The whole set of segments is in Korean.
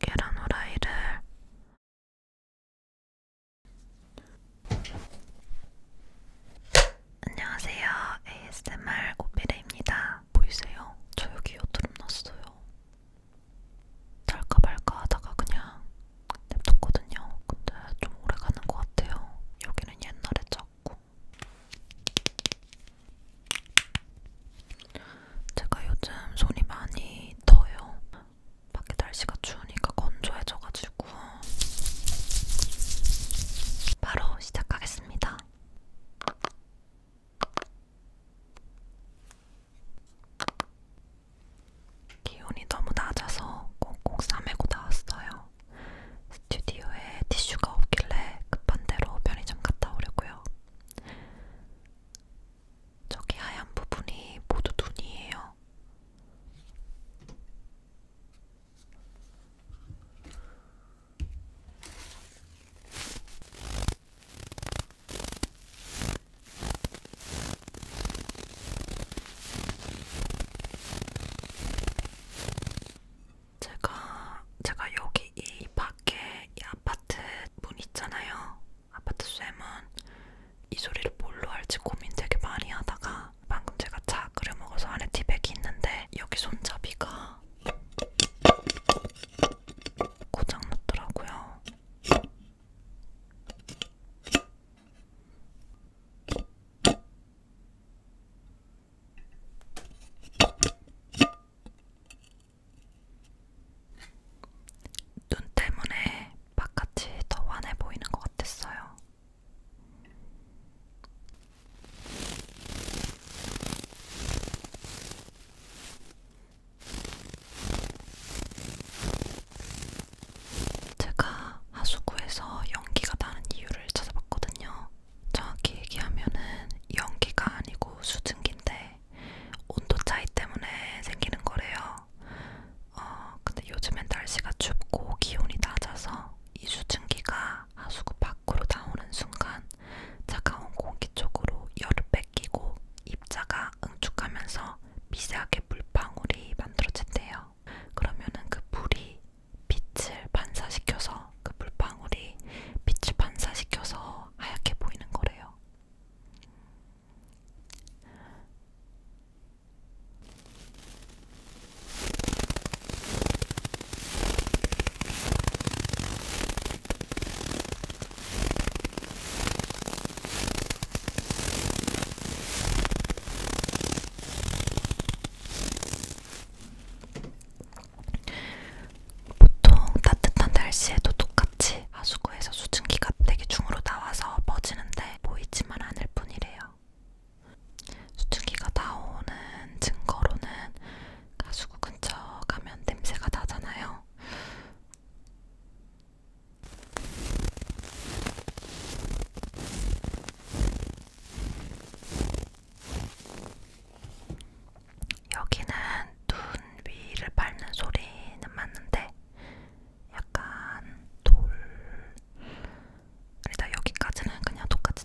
계란 후라이를 안녕하세요. ASMR 오피레입니다. 보이세요? 저 여기 여드름 났어요. 탈까 말까 하다가 그냥 냅뒀거든요. 근데 좀 오래 가는 것 같아요. 여기는 옛날에 저 같고 제가 요즘 손이 많이 더요. 밖에 날씨가 추우니까 건조해져가지고 바로 시작하겠습니다. 기온이 너무 낮아서 꼭꼭 싸매고 나왔어요. 스튜디오에 티슈가 없길래 급한대로 편의점 갔다 오려고요. 저기 하얀 부분이 모두 눈이에요. 제가 제가 여기 이 밖에 이 아파트 문 있잖아요. 아파트 쌤은 이 소리를 뭘로 할지 고민 되게 많이 하다가 방금 제가 차 끓여 먹어서 안에 티백이 있는데 여기 손잡이가 고장 났더라고요. 눈 때문에 바깥이 더 환해 보이는 것 같았어요. 제가 하수구에서 연기가 나는 이유를 찾아봤거든요. 정확히 얘기하면은 연기가 아니고 수증기인데 온도 차이 때문에 생기는 거래요. 어, 근데 요즘엔 날씨가 춥고 기온이 낮아서 이 수증기가 하수구 밖으로 나오는 순간 차가운 공기 쪽으로 열을 뺏기고 입자가 응축하면서 미세하게 물방울이 만들어진대요. 그러면은 그 물이 빛을 반사시켜서 그 물방울이 빛을 반사시켜서 하얗게 보이는 거래요. 보통 따뜻한 날씨에도 똑같이 하수구에서 수증기가 되게 중으로 나와서 퍼지는데 보이지만 않을 뿐이래요. 수증기가 나오는 증거로는 하수구 근처 가면 냄새가 나잖아요. 여기는 눈 위를 밟는 소리는 맞는데 약간 돌 일단 여기까지는 그냥 똑같이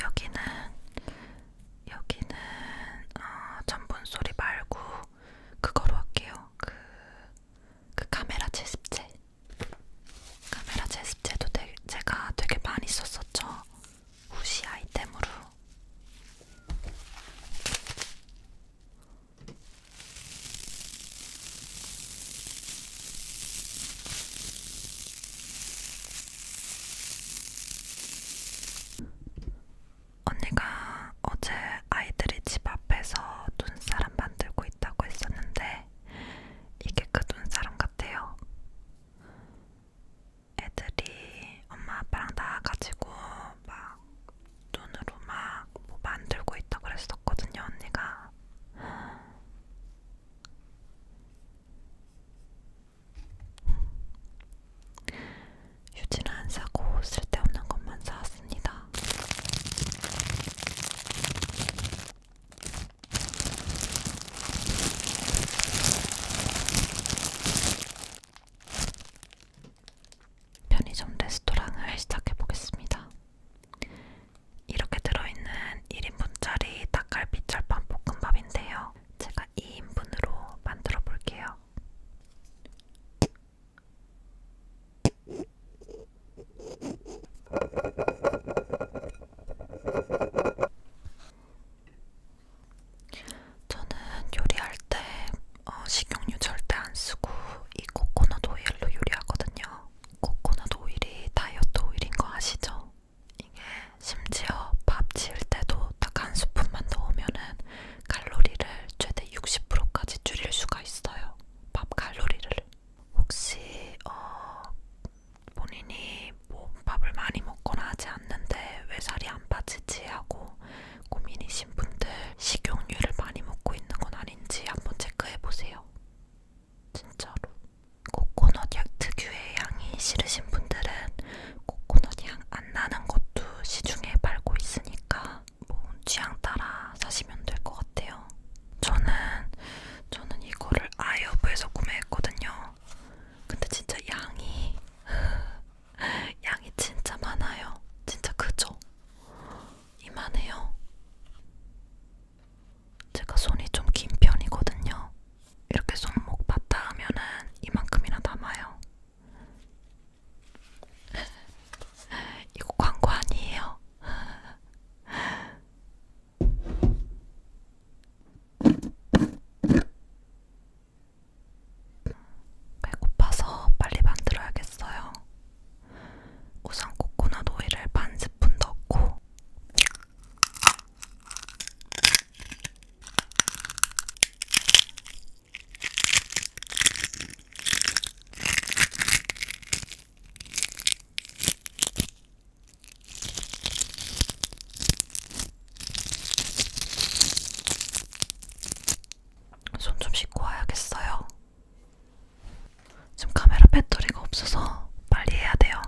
여기는 여기는 어, 전분 소리 말고 그거로 할게요. 그, 그 카메라 채집제. 카메라 제습제도 되, 제가 되게 많이 썼었죠. 후시 아이템으로. 언니가 어제 아이들이 집 앞에서 눈사람 만들고 있다고 했었는데 있는데 이게 그 눈사람 같아요. 애들이 엄마 아빠랑 나와가지고 막 눈으로 막 뭐 만들고 있다 그랬었거든요 언니가. 휴지는 안 사고 쓸데없는 것만 사왔습니다. 편의점 레스토랑을 시작해 보겠습니다. 이렇게 들어있는 1인분짜리 닭갈비 철판 볶음밥인데요. 제가 2인분으로 만들어 볼게요. 저는 요리할 때 어, 식용유 절대 안 쓰고 이 코코넛 오일로 요리하거든요. 코코넛 오일이 다이어트 오일인 거 아시죠? 이게 심지어 밥 지을 때도 딱 한 스푼만 넣으면은 칼로리를 최대 60%까지 줄일 수가 있어요. 밥 칼로리를. 혹시 어, 본인이 뭐 밥을 많이 먹거나 하지 않는데 왜 살이 안 빠지지 하고 고민이신 분들 식용유를 많이 먹고 있는 건 아닌지 한번 체크해 보세요. 진짜로. 코코넛 약 특유의 향이 싫으신 분들은 코코넛 향 안 나는 것도 시중에 팔고 있으니까 뭐 취향 따라 사시면 될 것 같아요. 저는 저는 이거를 아이오브에서 구매했거든요. 근데 진짜 양이 양이 진짜 많아요. 진짜 크죠? 이만해요. 제가 손이 좀 긴 편이거든요. 이렇게 손목 봤다 하면은 이만큼이나 남아요. 이거 광고 아니에요. 배고파서 빨리 만들어야겠어요. 우선 코코넛 오일을 반 스푼 넣고 손좀 씻고 와야겠어요. 지금 카메라 배터리가 없어서 빨리 해야 돼요.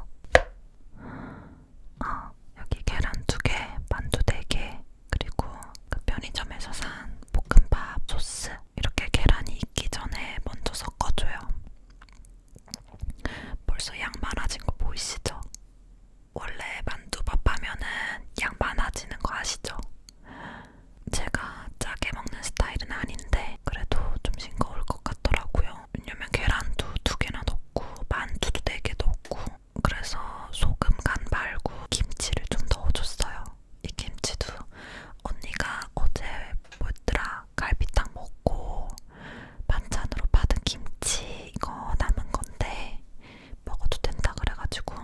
아, 여기 계란 2개, 만두 4개, 그리고 그 편의점에서 산 볶음밥 소스 이렇게 계란이 익기 전에 먼저 섞어줘요. 벌써 양 많아진 거 보이시죠? 원래 만두밥 하면은 양 많아지는 거 아시죠? 제가 짜게 먹는 스타일은 아닌데 그래도 좀 싱거울 것 같더라고요. 왜냐면 계란도 두 개나 넣고 만두도 네 개 넣고 그래서 소금 간 말고 김치를 좀 넣어줬어요. 이 김치도 언니가 어제 뭐였더라 갈비탕 먹고 반찬으로 받은 김치 이거 남은 건데 먹어도 된다 그래가지고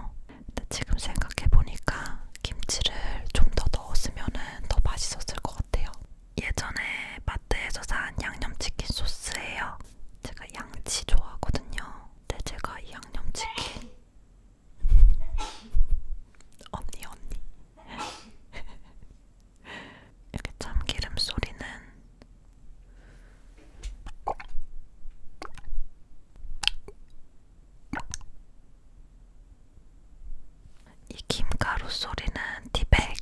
근데 지금 생각해보니까 김치를 좀 더 넣었으면은 더 맛있었을 것 같아요. 예전에 마트에서 산 양념치킨 소스예요. 제가 양치 좋아하거든요. 근데 제가 이 양념치킨 언니 언니 이렇게 참기름 소리는 이 김가루 소리는 티백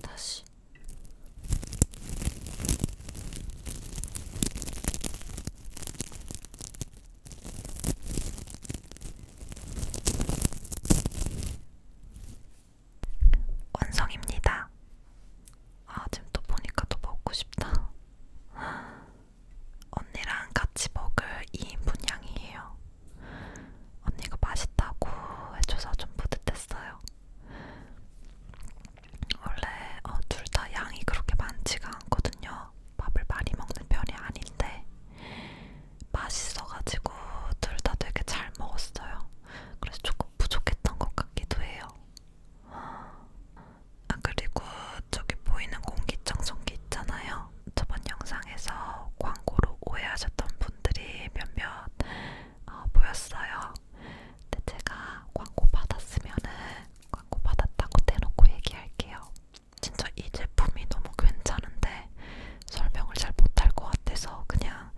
다시 완성입니다. 아 지금 또 보니까 또 먹고 싶다. 언니랑 같이 먹을 2인분 양이에요. 언니가 맛있다고 해줘서 좀 뿌듯했어요. 원래 어, 둘다 양이 그렇게 많지가 않거든요. 밥을 많이 먹는 편이 아닌데 맛있어가지고 둘 다 되게 잘 먹었어요. 그래서 조금 부족했던 것 같기도 해요. 아 그리고 저기 보이는 공기청정기 있잖아요. 저번 영상에서 광고로 오해하셨던 분들이 몇몇 어, 보였어요. 근데 제가 광고 받았으면은 광고 받았다고 대놓고 얘기할게요. 진짜 이 제품이 너무 괜찮은데 설명을 잘 못할 것 같아서 그냥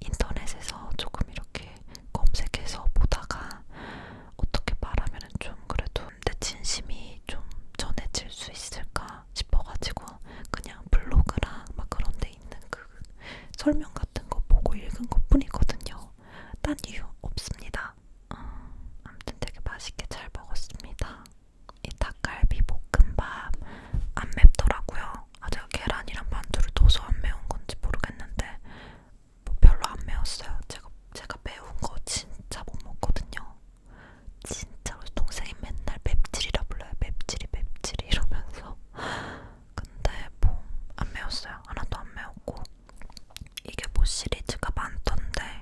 인터넷에서 조금 이렇게 검색해서 보다가 어떻게 말하면 좀 그래도 내 진심이 좀 전해질 수 있을까 싶어가지고 그냥 블로그랑 막 그런 데 있는 그 설명 같은 거 보고 읽은 것 뿐이거든요. 딴 이유 없습니다. 음, 아무튼 되게 맛있게 잘 먹었습니다. 이 닭갈비 볶음밥 안 맵더라고요. 아 제가 계란이랑 만두를 넣어서 안 매운 건지 모르겠는데 뭐 별로 안 매웠어요. 제가 제가 매운 거 진짜 못 먹거든요. 진짜로 동생이 맨날 맵찔이라 불러요. 맵찔이 맵찔이 이러면서 근데 뭐 안 매웠어요. 하나도 안 매웠고 이게 뭐 시리즈가 많던데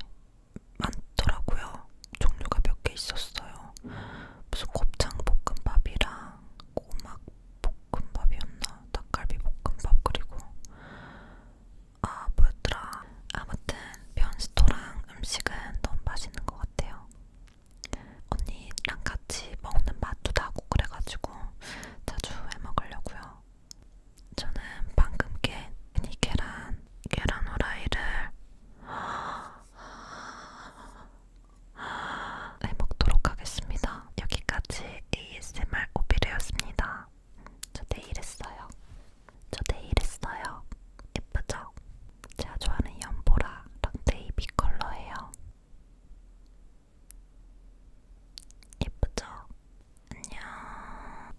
많더라고요. 종류가 몇 개 있었어요. 무슨 곱창 볶음밥이랑 꼬막 볶음밥이었나? 닭갈비 볶음밥 그리고 아 뭐였더라? 아무튼 변스토랑 음식은 너무 맛있는 것 같아요. 언니랑 같이 먹는 맛도 나고 그래가지고 자주 해 먹으려고요. 저는 방금 깬 미니 계란, 계란 후라이를 해먹도록 하겠습니다. 여기까지 ASMR 오비레였습니다. 저 내일 했어요. 저 내일 했어요. 예쁘죠? 제가 좋아하는 연보라랑 네이비 컬러예요. 예쁘죠? 안녕.